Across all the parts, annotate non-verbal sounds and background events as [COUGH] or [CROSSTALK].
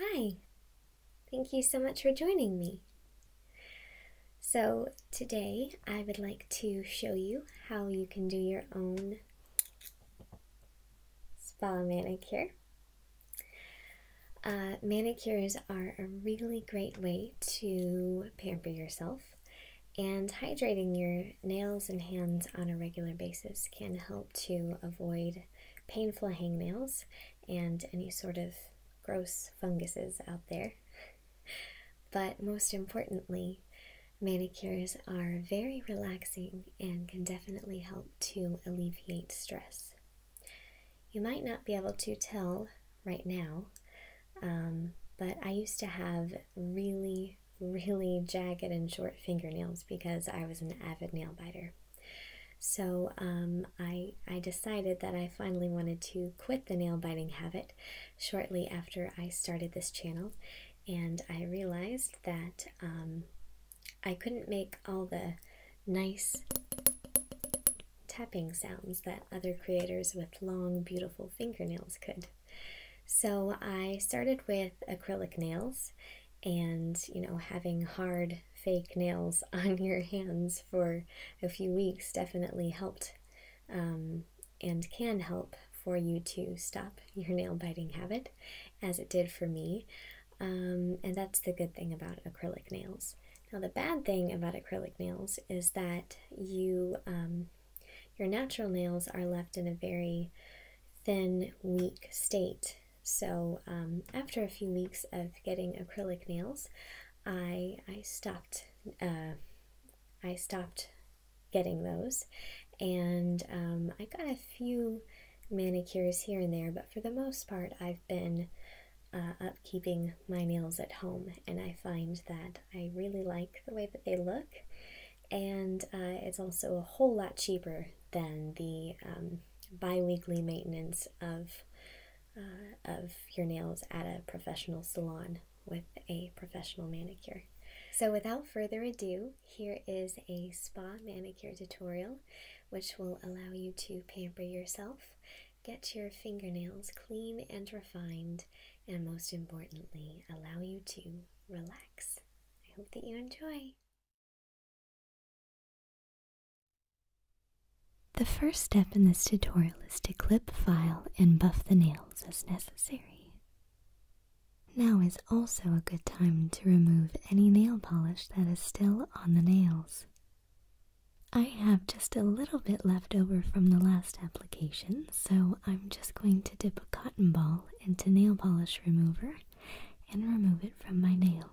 Hi, thank you so much for joining me. So, today I would like to show you how you can do your own spa manicure. Uh, manicures are a really great way to pamper yourself, and hydrating your nails and hands on a regular basis can help to avoid painful hang nails and any sort of gross funguses out there. But most importantly, manicures are very relaxing and can definitely help to alleviate stress. You might not be able to tell right now, um, but I used to have really, really jagged and short fingernails because I was an avid nail biter. So um, I, I decided that I finally wanted to quit the nail biting habit shortly after I started this channel. And I realized that um, I couldn't make all the nice tapping sounds that other creators with long, beautiful fingernails could. So I started with acrylic nails and, you know, having hard fake nails [LAUGHS] on your hands for a few weeks definitely helped um, and can help for you to stop your nail biting habit, as it did for me. Um, and that's the good thing about acrylic nails. Now the bad thing about acrylic nails is that you um, your natural nails are left in a very thin, weak state. So um, after a few weeks of getting acrylic nails, I I stopped uh, I stopped getting those, and um, I got a few manicures here and there, but for the most part, I've been uh, upkeeping my nails at home, and I find that I really like the way that they look, and uh, it's also a whole lot cheaper than the um, bi weekly maintenance of. Uh, of your nails at a professional salon with a professional manicure. So without further ado, here is a spa manicure tutorial which will allow you to pamper yourself Get your fingernails clean and refined, and most importantly, allow you to relax. I hope that you enjoy. The first step in this tutorial is to clip, file, and buff the nails as necessary. Now is also a good time to remove any nail polish that is still on the nails. I have just a little bit left over from the last application, so I'm just going to dip a cotton ball into nail polish remover and remove it from my nails.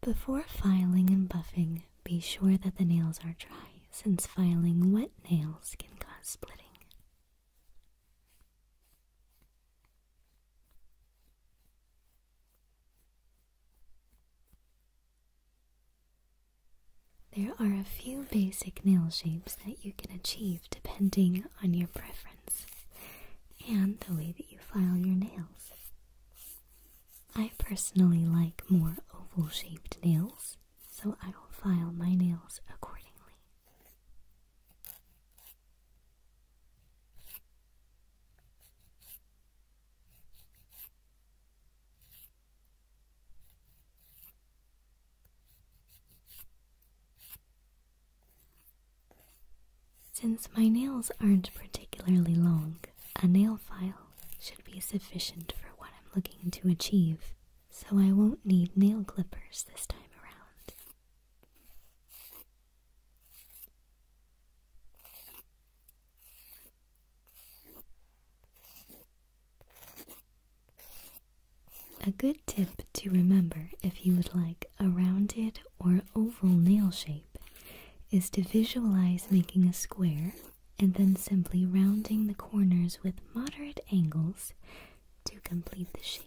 Before filing and buffing, be sure that the nails are dry since filing wet nails can cause splitting. There are a few basic nail shapes that you can achieve depending on your preference and the way that you file your nails. I personally like more oval shaped nails, so I will file my nails accordingly. Since my nails aren't particularly long, a nail file should be sufficient for what I'm looking to achieve, so I won't need nail clippers this time around. A good tip to remember if you would like a rounded or oval nail shape is to visualize making a square and then simply rounding the corners with moderate angles to complete the shape.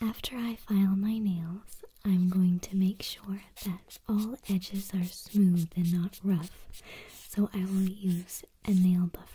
After I file my nails, I'm going to make sure that all edges are smooth and not rough, so I will use a nail buffer.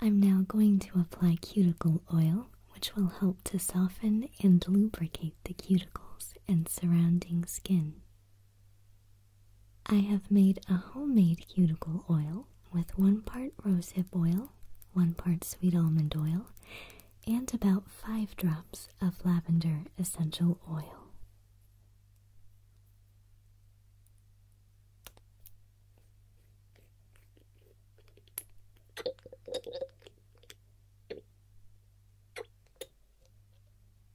I'm now going to apply cuticle oil, which will help to soften and lubricate the cuticles and surrounding skin. I have made a homemade cuticle oil with one part rosehip oil, one part sweet almond oil, and about five drops of lavender essential oil.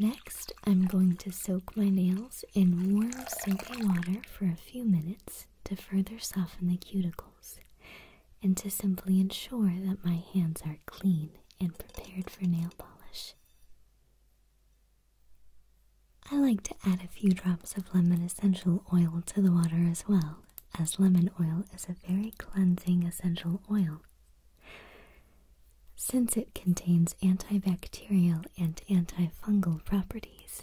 Next, I'm going to soak my nails in warm soapy water for a few minutes to further soften the cuticles and to simply ensure that my hands are clean and prepared for nail polish. I like to add a few drops of lemon essential oil to the water as well as lemon oil is a very cleansing essential oil. Since it contains antibacterial and antifungal properties.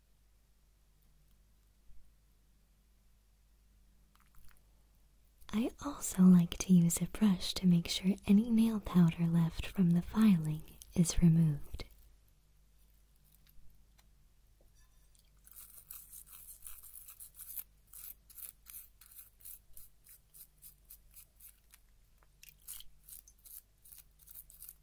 I also like to use a brush to make sure any nail powder left from the filing is removed.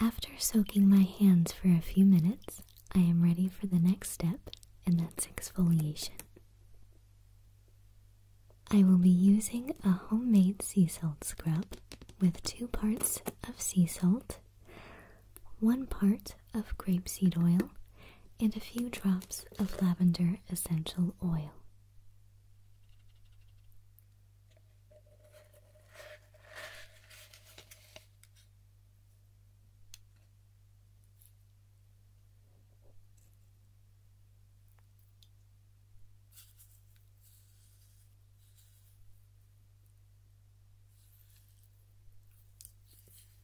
After soaking my hands for a few minutes, I am ready for the next step, and that's exfoliation. I will be using a homemade sea salt scrub with two parts of sea salt, one part of grapeseed oil, and a few drops of lavender essential oil.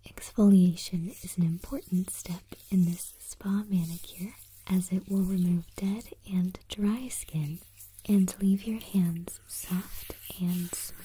Exfoliation is an important step in this spa manicure as it will remove dead and dry skin and leave your hands soft and smooth.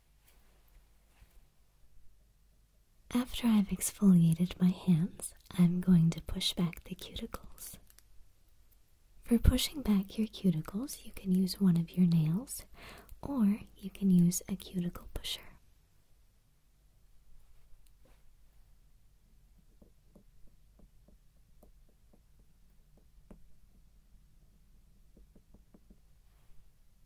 After I've exfoliated my hands, I'm going to push back the cuticles. For pushing back your cuticles, you can use one of your nails or you can use a cuticle pusher.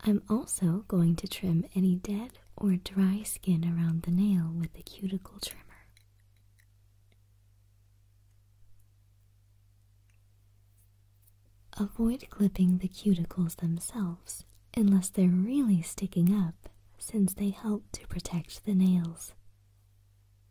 I'm also going to trim any dead or dry skin around the nail with the cuticle trimmer. Avoid clipping the cuticles themselves unless they're really sticking up since they help to protect the nails.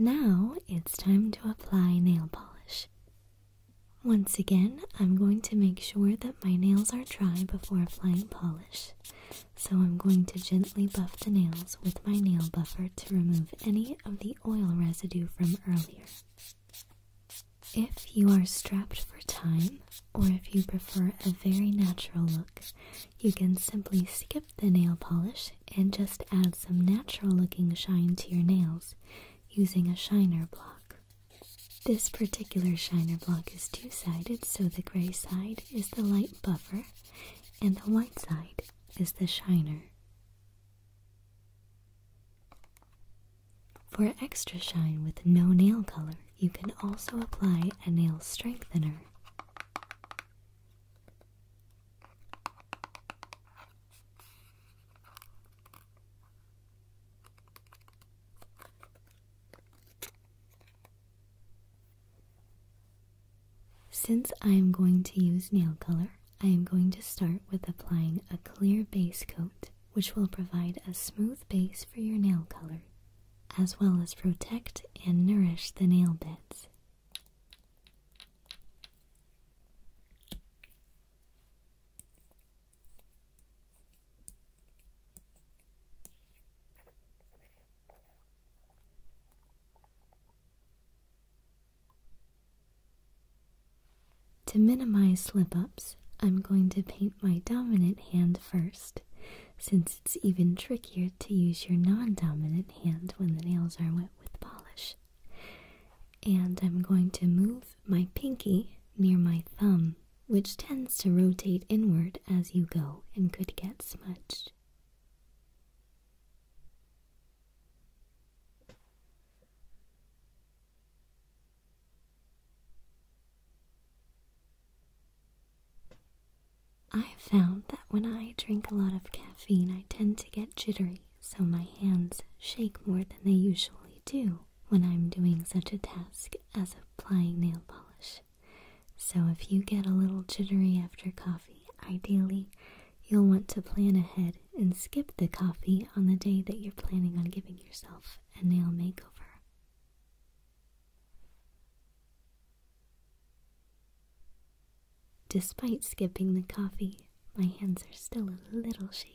Now it's time to apply nail polish. Once again, I'm going to make sure that my nails are dry before applying polish. So I'm going to gently buff the nails with my nail buffer to remove any of the oil residue from earlier. If you are strapped for time, or if you prefer a very natural look, you can simply skip the nail polish and just add some natural looking shine to your nails using a shiner block. This particular shiner block is two-sided, so the gray side is the light buffer and the white side is the shiner. For extra shine with no nail color, you can also apply a nail strengthener. Since I am going to use nail color, I am going to start with applying a clear base coat, which will provide a smooth base for your nail color, as well as protect and nourish the nail beds. To minimize slip ups, I'm going to paint my dominant hand first, since it's even trickier to use your non dominant hand when the nails are wet with polish. And I'm going to move my pinky near my thumb, which tends to rotate inward as you go and could get smudged. I've found that when I drink a lot of caffeine, I tend to get jittery so my hands shake more than they usually do when I'm doing such a task as applying nail polish. So if you get a little jittery after coffee, ideally you'll want to plan ahead and skip the coffee on the day that you're planning on giving yourself a nail makeover. Despite skipping the coffee, my hands are still a little shaky.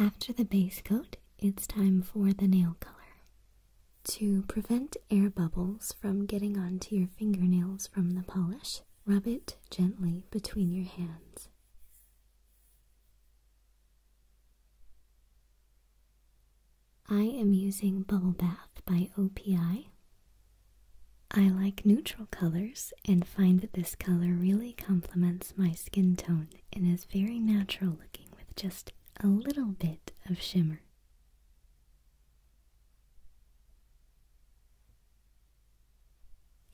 After the base coat, it's time for the nail color. To prevent air bubbles from getting onto your fingernails from the polish, rub it gently between your hands. I am using Bubble Bath by OPI. I like neutral colors and find that this color really complements my skin tone and is very natural looking with just a little bit of shimmer.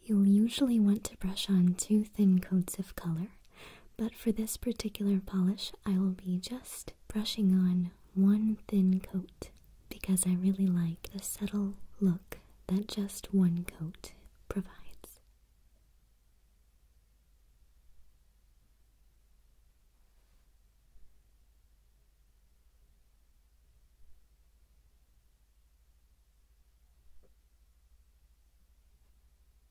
You'll usually want to brush on two thin coats of color but for this particular polish, I will be just brushing on one thin coat because I really like the subtle look that just one coat provides.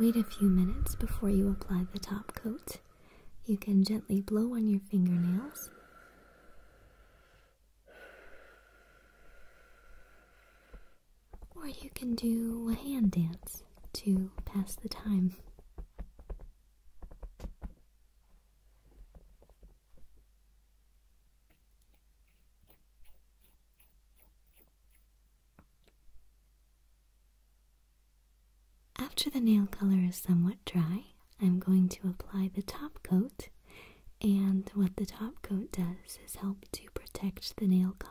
Wait a few minutes before you apply the top coat. You can gently blow on your fingernails. Or you can do a hand dance to pass the time. After the nail color is somewhat dry, I'm going to apply the top coat, and what the top coat does is help to protect the nail color.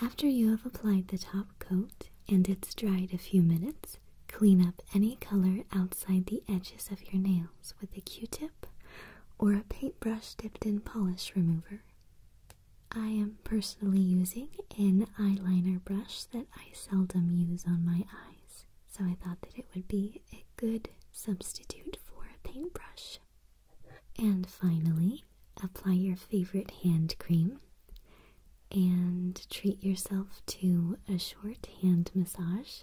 After you have applied the top coat and it's dried a few minutes, clean up any color outside the edges of your nails with a q-tip or a paintbrush dipped in polish remover. I am personally using an eyeliner brush that I seldom use on my eyes, so I thought that it would be a good substitute for a paintbrush. And finally, apply your favorite hand cream and treat yourself to a short hand massage.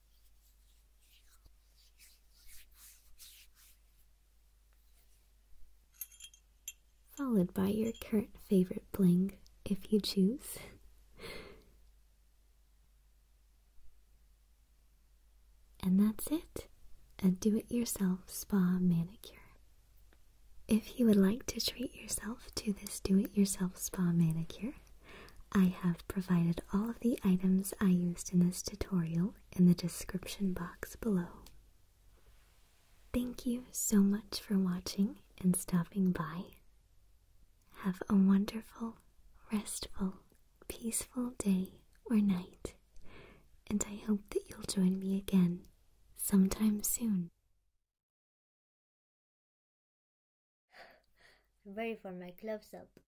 Followed by your current favorite bling, if you choose. and that's it a do it yourself spa manicure. If you would like to treat yourself to this do it yourself spa manicure, I have provided all of the items I used in this tutorial in the description box below. Thank you so much for watching and stopping by. Have a wonderful, restful, peaceful day or night, and I hope that you'll join me again sometime soon. I'm ready for my gloves up.